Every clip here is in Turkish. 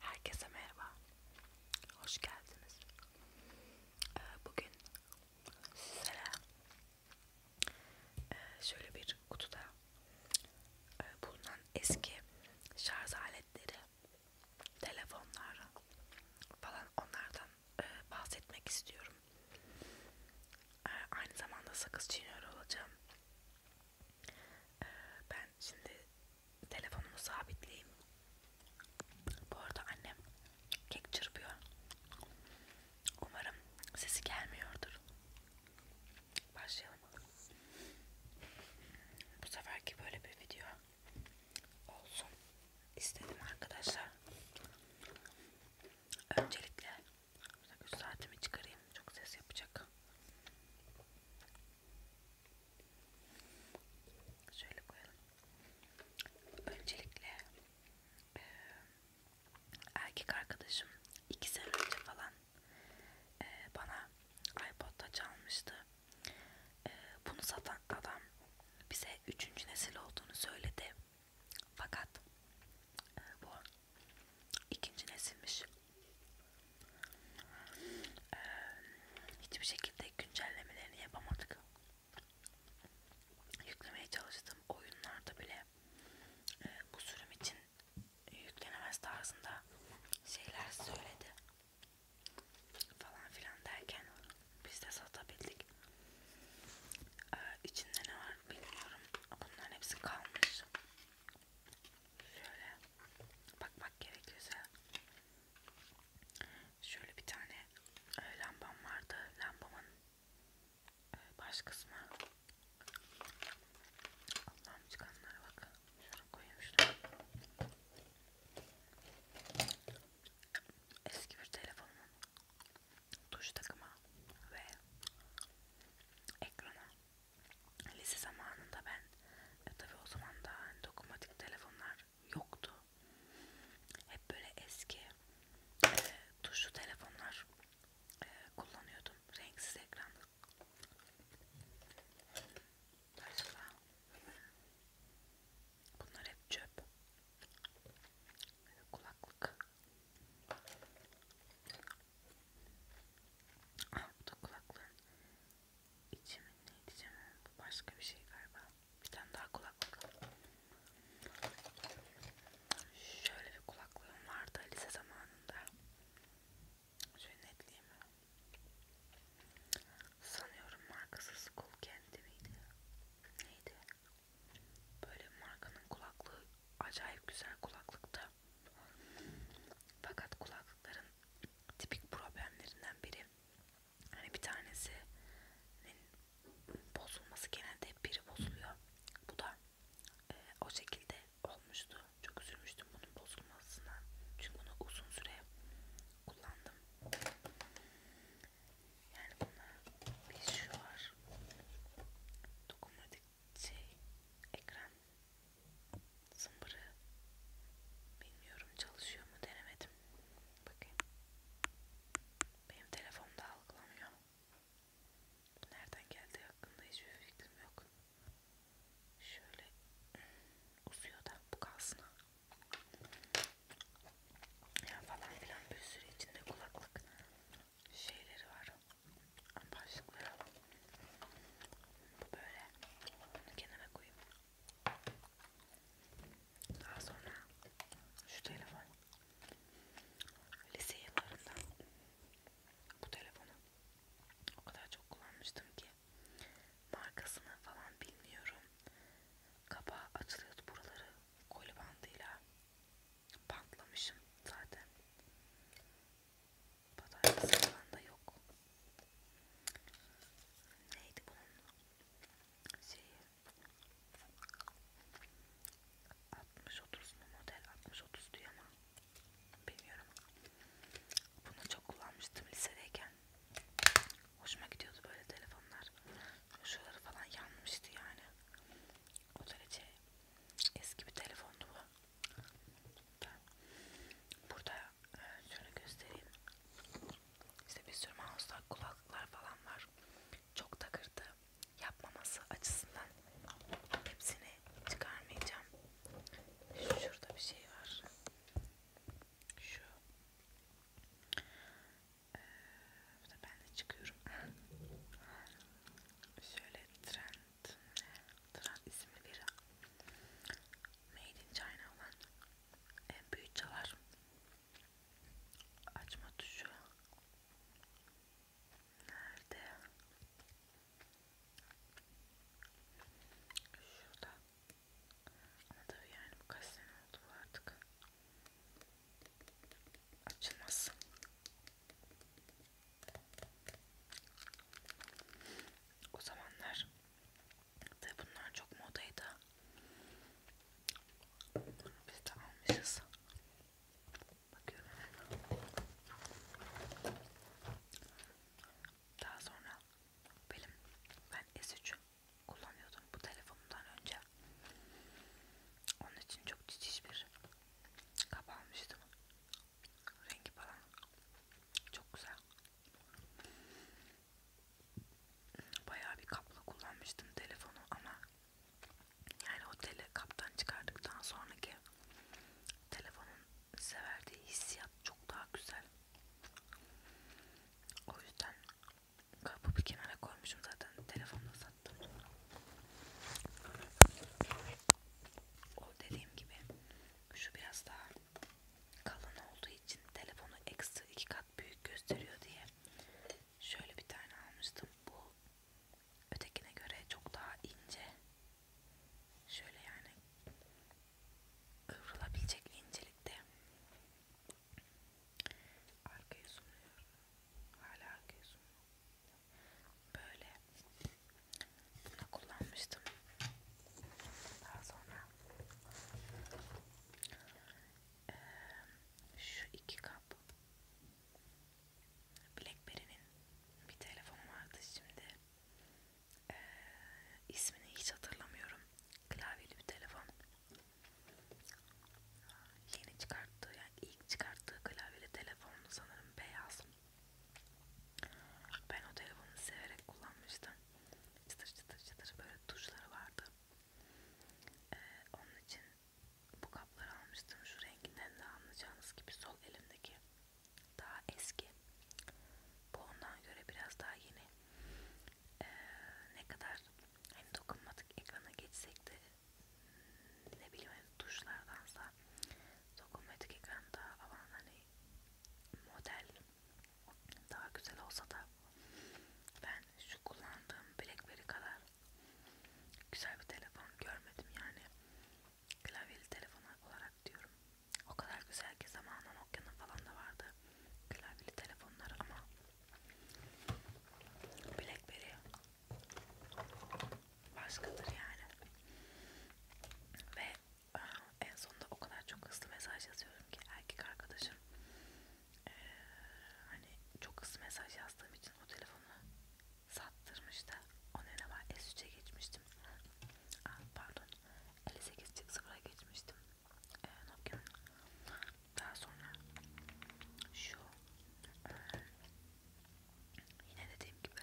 Herkese merhaba. Hoş geldiniz. Ee, bugün sizlere e, şöyle bir kutuda e, bulunan eski şarj aletleri, telefonlar falan onlardan e, bahsetmek istiyorum. Aynı zamanda sakız çiğniyor olacağım. Ee, ben şimdi telefonumu sabitleyeyim. Bu arada annem kek çırpıyor. Umarım sesi gelmiyordur. Başlayalım. Bu seferki böyle bir video olsun istedim arkadaşlar. Öncelikle 3 saatimi çıkarayım. Çok ses yapacak. Şöyle koyalım. Öncelikle e, erkek arkadaşım iki sene önce falan e, bana iPod'da çalmıştı. E, bunu satan adam bize üçüncü nesil olduğunu söyledi. Fakat e, bu ikinci nesilmiş. Ee, hiçbir şekilde güncellemelerini yapamadık. Yüklemeye çalıştığım oyunlarda bile e, bu sürüm için yüklenemez tarzında şeyler söyledi falan filan derken biz de satabildik. Ee, içinde ne var bilmiyorum. Bunların hepsi kalmış şöyle bakmak gerekirse şöyle bir tane e, lambam vardı lambamın e, baş kısmı Allah'ım çıkanlara bak şuraya koyayım şunu eski bir telefonumun tuş takımı ve ekrana lise zamanında ben e, tabii o zaman da hani, dokunmatik telefonlar yoktu. Hep böyle eski e, tuşlu telefonlar e, kullanıyordum. Renksiz ekranlı. Acaba bunlar hep çöp. Kulaklık. Ah bu da kulaklığın içi mi ne diyeceğim bu başka bir şey galiba. Bir tane daha kulaklık. Şöyle bir kulaklığım vardı lise zamanında. Şöyle netleyeyim. Sanıyorum markası Skull Candy miydi? Neydi? Böyle markanın kulaklığı acayip güzel kulaklıkta fakat kulaklıkların tipik problemlerinden biri hani bir tanesinin bozulması genelde hep biri bozuluyor. Bu da e, o şekilde olmuştu. Çok üzülmüştüm bunun bozulmasına. Çünkü bunu uzun süre kullandım. Yani buna bir şu var. Dokunmatik şey ekran zımbırı bilmiyorum çalışıyor mu denemedim bakayım benim telefonda algılamıyor nereden geldi hakkında hiçbir fikrim yok şöyle uzuyor da bu kalsın ya falan filan bir sürü içinde kulaklık şeyleri var Başlıkları bu böyle. Bunu kenara koyayım. Daha sonra şu telefon. Lise yıllarında bu telefonu o kadar çok kullanmıştım ki markasını falan bilmiyorum. Kapağı açılıyordu buraları koli bandıyla bantlamışım zaten. Pazartesi falan da yok. Neydi bunun şeyi? 60-30 mu model? 60-30 diyor ama bilmiyorum. Bunu çok kullanmıştım lisedeyken. Hoşuma gidiyordu böyle telefonlar. Şuraları falan yanmıştı yani. O derece eski bir telefondu bu. Ben burada e, şöyle göstereyim. İşte bir sürü mouse'lar, kulaklıklar falan var. Çok takırdı. Yapmaması açısından hepsini çıkarmayacağım. Şurada bir şey var. Şu. Ee, burada ben de çıkıyorum. Şöyle tren Trend isimli biri. Made in China olan en büyük çalar. Açma tuşu. Nerede? Şurada. Ama tabii yani bu kaç sene oldu bu artık. Açılmaz. O zamanlar ve bunlar çok modaydı. Biz de almışız. Bakıyorum. Daha sonra benim ben S3 kullanıyordum bu telefonumdan önce. Onun için çok ciciş bir kap almıştım rengi falan çok güzel. Bayağı bir kapla kullanmıştım telefonu ama yani o tele kaptan çıkardıktan sonraki telefonun size verdiği hissiyat çok daha güzel. O yüzden kapı bir kenara koymuşum zaten telefonla sattım. O dediğim gibi şu biraz daha kalın olduğu için telefonu ekstra iki kat büyük gösteriyor diye şöyle bir tane almıştım. Bu ötekine göre çok daha ince. Şöyle yani kıvrılabilecek incelikte. Arkaya sunuyorum. Hala arkaya sunuyorum böyle bunu kullanmıştım daha sonra ee, şu iki kap Blackberry'nin bir telefonu vardı şimdi ee, ismini hiç hatırlamıyorum klavyeli bir telefon yeni çıkarttığı yani ilk çıkarttığı klavyeli telefonunu sanırım beyaz ben o telefonu severek kullanmıştım. Çıtır çıtır çıtır böyle tuşları vardı. Ee, onun için bu kapları almıştım. Şu renginden de anlayacağınız gibi sol elimdeki daha eski. Bu ondan göre biraz daha yeni. Ee, ne kadar hani dokunmadık ekrana geçsek de ne bileyim hani tuşlardansa dokunmatik ekran daha avan hani model daha güzel olsa da ben şu kullandığım Blackberry kadar güzel bir telefon görmedim yani klavyeli telefon olarak diyorum o kadar güzel ki zamanla Nokia'nın falan da vardı klavyeli telefonlar ama Blackberry başkadır yani ve ah, en sonunda o kadar çok hızlı mesaj yazıyorum ki erkek arkadaşım ee, hani çok hızlı mesaj yazdığım için o telefonu sattırmıştı onun yerine ben S3'e geçmiştim Aa, ah, pardon 58 çık sıfıra geçmiştim ee, Nokia'nın daha sonra şu Yine dediğim gibi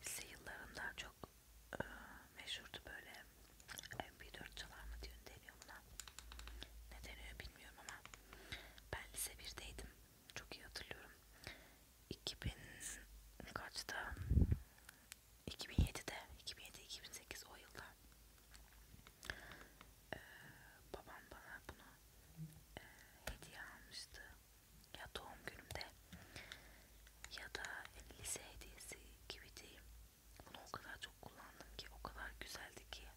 lise yıllarında çok e, meşhurdu böyle MP4 çalar mı diyor, deniyor buna. Ne deniyor bilmiyorum ama ben lise 1'deydim. Çok iyi hatırlıyorum. 2000 kaçta? 2007'de, 2007-2008 o yılda ee, babam bana bunu e, hediye almıştı ya doğum günümde ya da yani lise hediyesi gibi diyeyim. Bunu o kadar çok kullandım ki o kadar güzeldi ki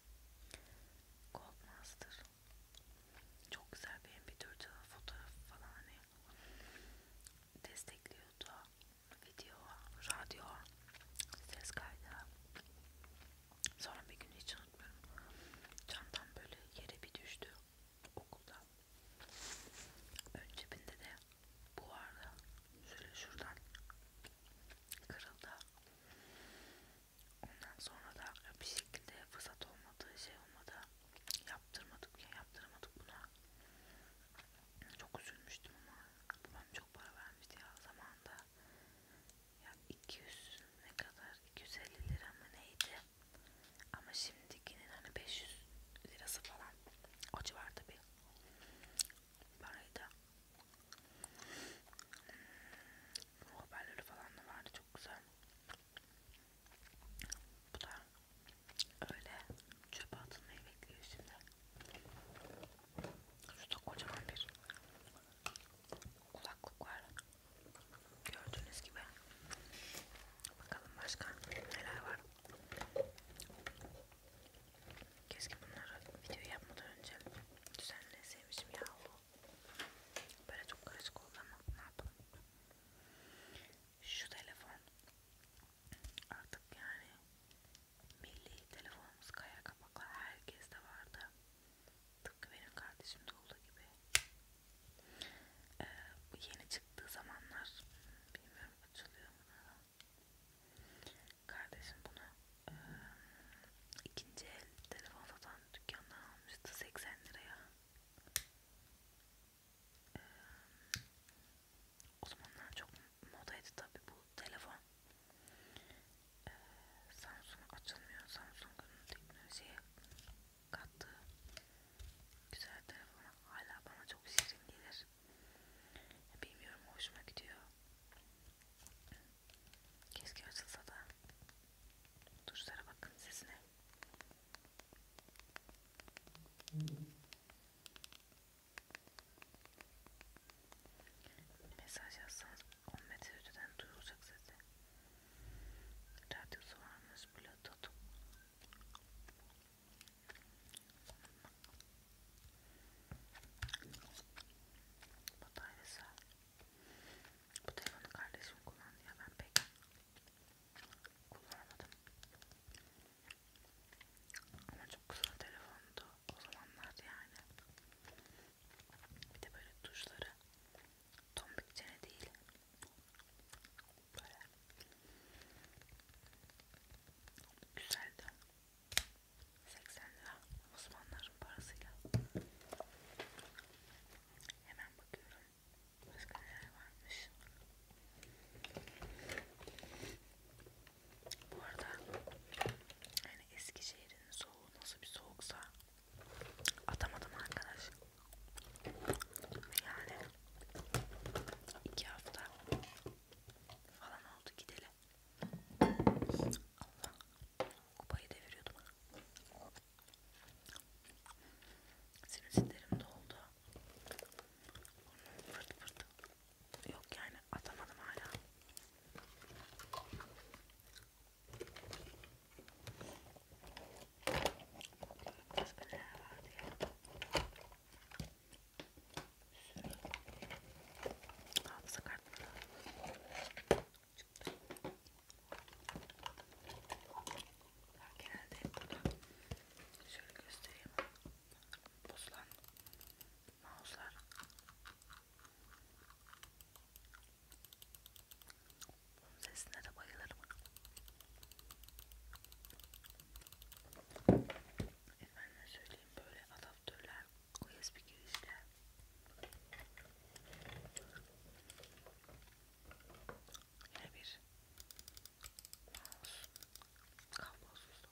Gold Master çok güzel benim bir dört fotoğraf falan hani destekliyordu video, radyo, ses kaydı Sonra bir gün hiç unutmuyorum. Çantam böyle yere bir düştü okulda. Ön cebinde de bu vardı. Şöyle şuradan kırıldı. Ondan sonra da bir şekilde fırsat olmadı, şey olmadı. Yaptırmadık ya, yaptıramadık buna. Çok üzülmüştüm ama babam çok para vermişti ya zamanda ya 200 ne kadar 250 lira mı neydi ama şimdikinin hani 500 lirası falan o civarda bir paraydı hmm, haberleri falan da vardı çok güzel bu da öyle çöpe atılmayı bekliyor şimdi şurada kocaman bir kulaklık var. Gördüğünüz gibi. Bakalım başka neler var. Keşke bunları video yapmadan önce düzenleseymişim ya. Böyle çok karışık oldu ama ne yapalım. Şu telefon artık yani milli telefonumuz kaya kapaklı herkeste vardı tıpkı benim kardeşimde olduğu gibi ee, bu yeni çıktığı zamanlar bilmiyorum açılıyor mu kardeşim bunu e, ikinci el telefon satan dükkandan almıştı 80 liraya ee, o zamanlar çok modaydı tabi bu telefon e, Samsung açılmıyor Samsung'un teknolojiye kattığı güzel telefonu hala bana çok şirin gelir bilmiyorum hoşuma gidiyor keşke açılsa da tuşlara bakın sesine mesaj yazsanız 10 metre öteden duyulacak sesi. Radyosu varmış Bluetooth. Bataryası. Bu telefonu kardeşim kullandı ya ben pek kullanamadım. Ama çok kısa telefondu o zamanlar yani. Bir de böyle tuşları tombik çene değil böyle güzeldi 80 lira Osmanlıların parasıyla hemen bakıyorum başka neler varmış bu arada yani Eskişehir'in soğuğu nasıl bir soğuksa Atamadım arkadaş. Yani iki hafta falan oldu gideli. Allah kupayı deviriyordum. Sinüslerim doldu. Fırt fırt. Yok yani atamadım hala. Başka neler vardı ya? Hafıza kartları çıktı. Ben genelde hep buradan şöyle göstereyim. Bozulan mouse'lar. Bunun sesine de bayılırım. Efendim söyleyeyim böyle adaptörler, USB girişler. Yine bir kablosuz.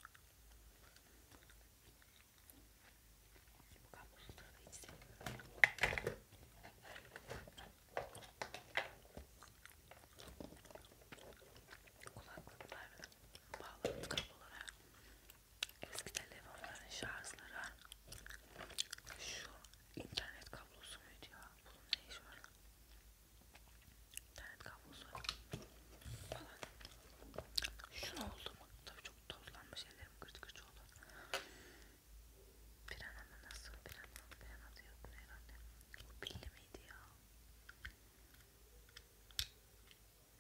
Bu kablosuzları da hiç sevmiyorum. Kulaklıklar bağlantılı kablolara eski telefonların şarjları şu internet kablosu muydu ya? Bunun ne işi var? İnternet kablosu falan. Şunu oldu mu? Tabii çok çok tozlanmış ellerim gırt gırt oldu. Pirana mı nasıl? Pirana, pirana da yok mu herhalde? Bu pilli miydi ya?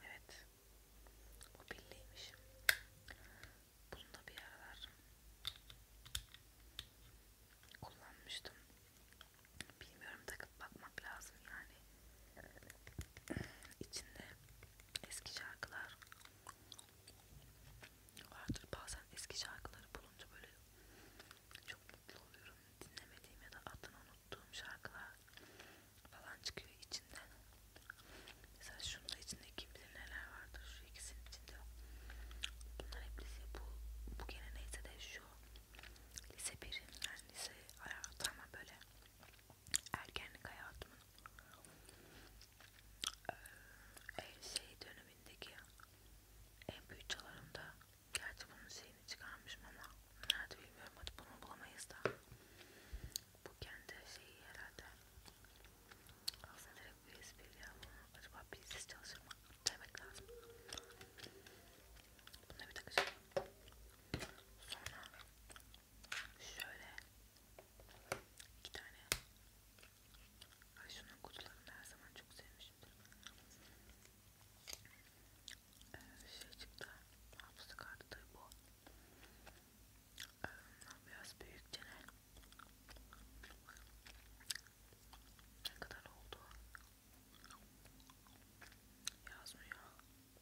Evet. Bu pilliymiş. Bunu da bir aralar kullanmıştım. Bilmiyorum takıp bakmak lazım yani. İçinde eski şarkılar vardır. Bazen eski şarkıları bulunca böyle çok mutlu oluyorum. Dinlemediğim ya da adını unuttuğum şarkılar falan çıkıyor içinden. Mesela şunun da içinde kim bilir neler vardır. Şu ikisinin içinde. Bunlar hep lise bu. Bu gene neyse de şu lise birim yani lise ayartama böyle ergenlik hayatımın e, şey dönemindeki en büyük çalarımda gerçi bunun şeyini çıkarmışım ama nerede bilmiyorum hadi bunu bulamayız da bu kendi şeyi herhalde aslında direkt bir espri ya acaba bilsiz çalışır mı demek lazım buna bir takacağım sonra Şöyle iki tane. Ay şunun kutularını her zaman çok sevmişimdir. Ee, şey çıktı. Hafıza kartı bu. Ee, biraz büyük genel. Ne kadar oldu? Yazmıyor.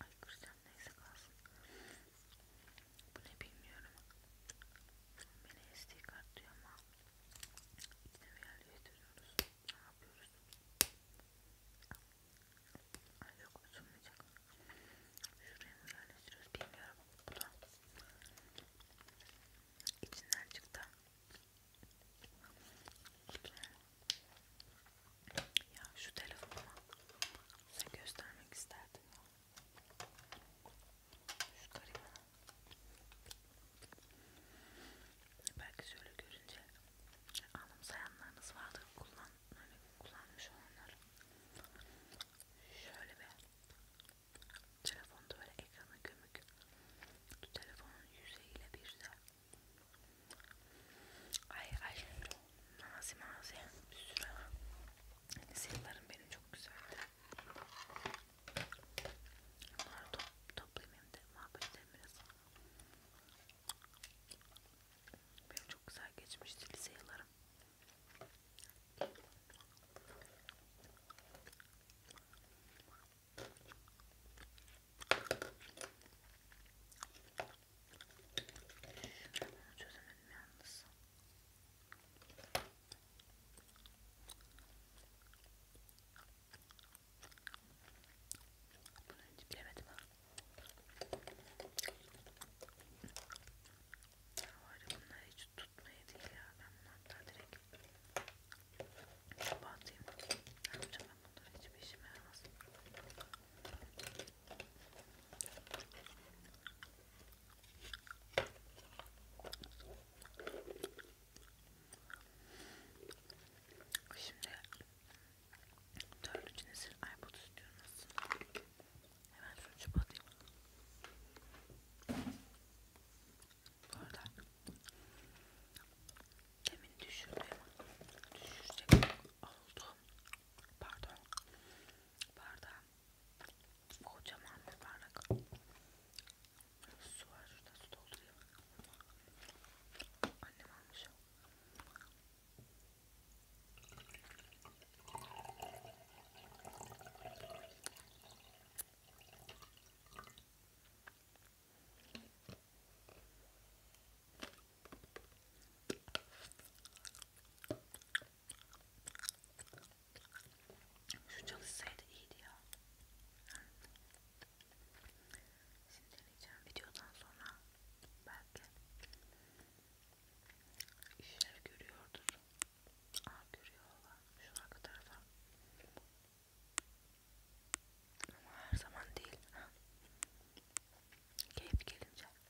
Ay Christian neyse kalsın. Bu ne bilmiyorum. Beni SD kart diyor ama ikna bir yerle getiriyoruz. Ne yapıyoruz? Ay yok açılmayacak. Şuraya mı yerleştiriyoruz bilmiyorum. Bu da içinden çıktı. Ya şu telefonuma size göstermek isterdim ya. Şu karima. Belki şöyle görünce anımsayanlarınız vardır kullan, hani kullanmış olanlar. Şöyle bir telefonda böyle ekrana gömük. Bu telefonun yüzeyiyle bir de ay ay Nazi mazi bir sürü. Neyse hani yıllarım benim çok güzeldi. Bunları top, toplayayım hem de muhabbet edelim biraz. Benim çok güzel geçmişti lise yıllarım. Ben bunu çözemedim yalnız. Bunu hiç bilemedim ha. Var bunlar hiç tutmaya değil ya. Ben bunu hatta direkt kapatayım. Ne yapacağım ben bunları hiçbir işime yaramaz. Şimdi dördüncü nesil iPod istiyorum aslında. Hemen şunu çapatayım. Bu arada demin düşürdüm. Düşürecek yok oldu. Pardon. Bardağım kocaman bir bardak. Su var şurada su dolduruyor. Annem almış o. Şu çalışsaydı iyiydi ya. Şimdi deneyeceğim videodan sonra belki işler görüyordur. Aa görüyorlar şu arka tarafa. Ama her zaman değil. Keyif gelince.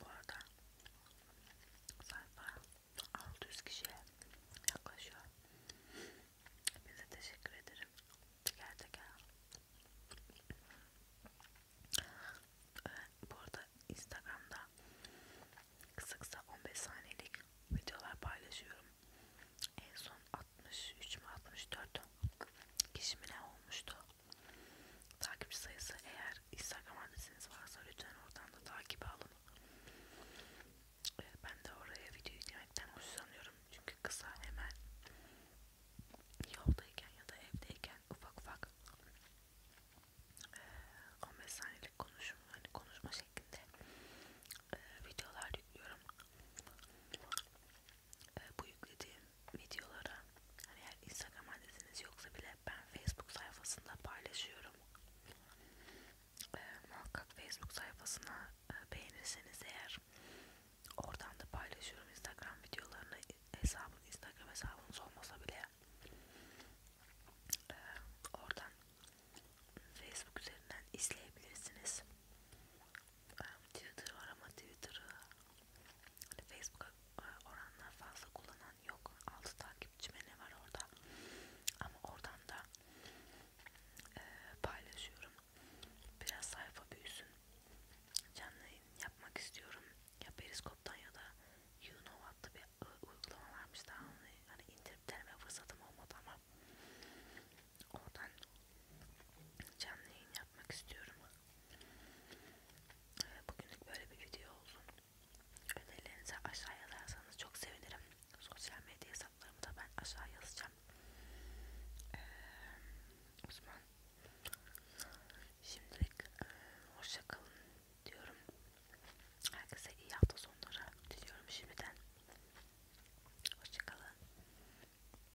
Bu arada sayfa 600 kişiye yaklaşıyor. Hepinize teşekkür ederim. Teker teker. Ee, bu arada Instagram'da kısa kısa 15 saniyelik videolar paylaşıyorum. En son 63 mi 64 kişi mi ne olmuştu? Takipçi sayısı eğer Instagram adresiniz varsa lütfen oradan da takibe alın. Ee, ben de oraya video yüklemekten hoşlanıyorum çünkü kısa hemen yoldayken ya da evdeyken ufak ufak 15 ee, saniyelik konuşum, hani konuşma şeklinde ee, videolar yüklüyorum e, bu yüklediğim videoları hani eğer Instagram adresiniz yoksa bile ben Facebook sayfasında paylaşıyorum. E, muhakkak Facebook sayfasına e, beğenirseniz eğer oradan da paylaşıyorum Instagram videolarını hesabım Instagram hesabınız olmasa bile e, oradan Facebook üzerinden izleyebilirsiniz. Twitter var ama Twitter'ı hani Facebook'a e, oranla fazla kullanan yok. 6 takipçime ne var orada? Ama oradan da e, paylaşıyorum. Biraz sayfa büyüsün. Canlı yayın yapmak istiyorum. Ya Periskop'tan ya da You Know adlı bir e, uygulama varmış daha onu hani indirip deneme fırsatım olmadı ama oradan canlı yayın yapmak istiyorum. Ee, bugünlük böyle bir video olsun. Önerilerinizi aşağıya yazarsanız çok sevinirim. Sosyal medya hesaplarımı da ben aşağı yazacağım. Ee, o zaman şimdilik e, hoşça kalın diyorum. Herkese iyi hafta sonları diliyorum şimdiden. Hoşça kalın.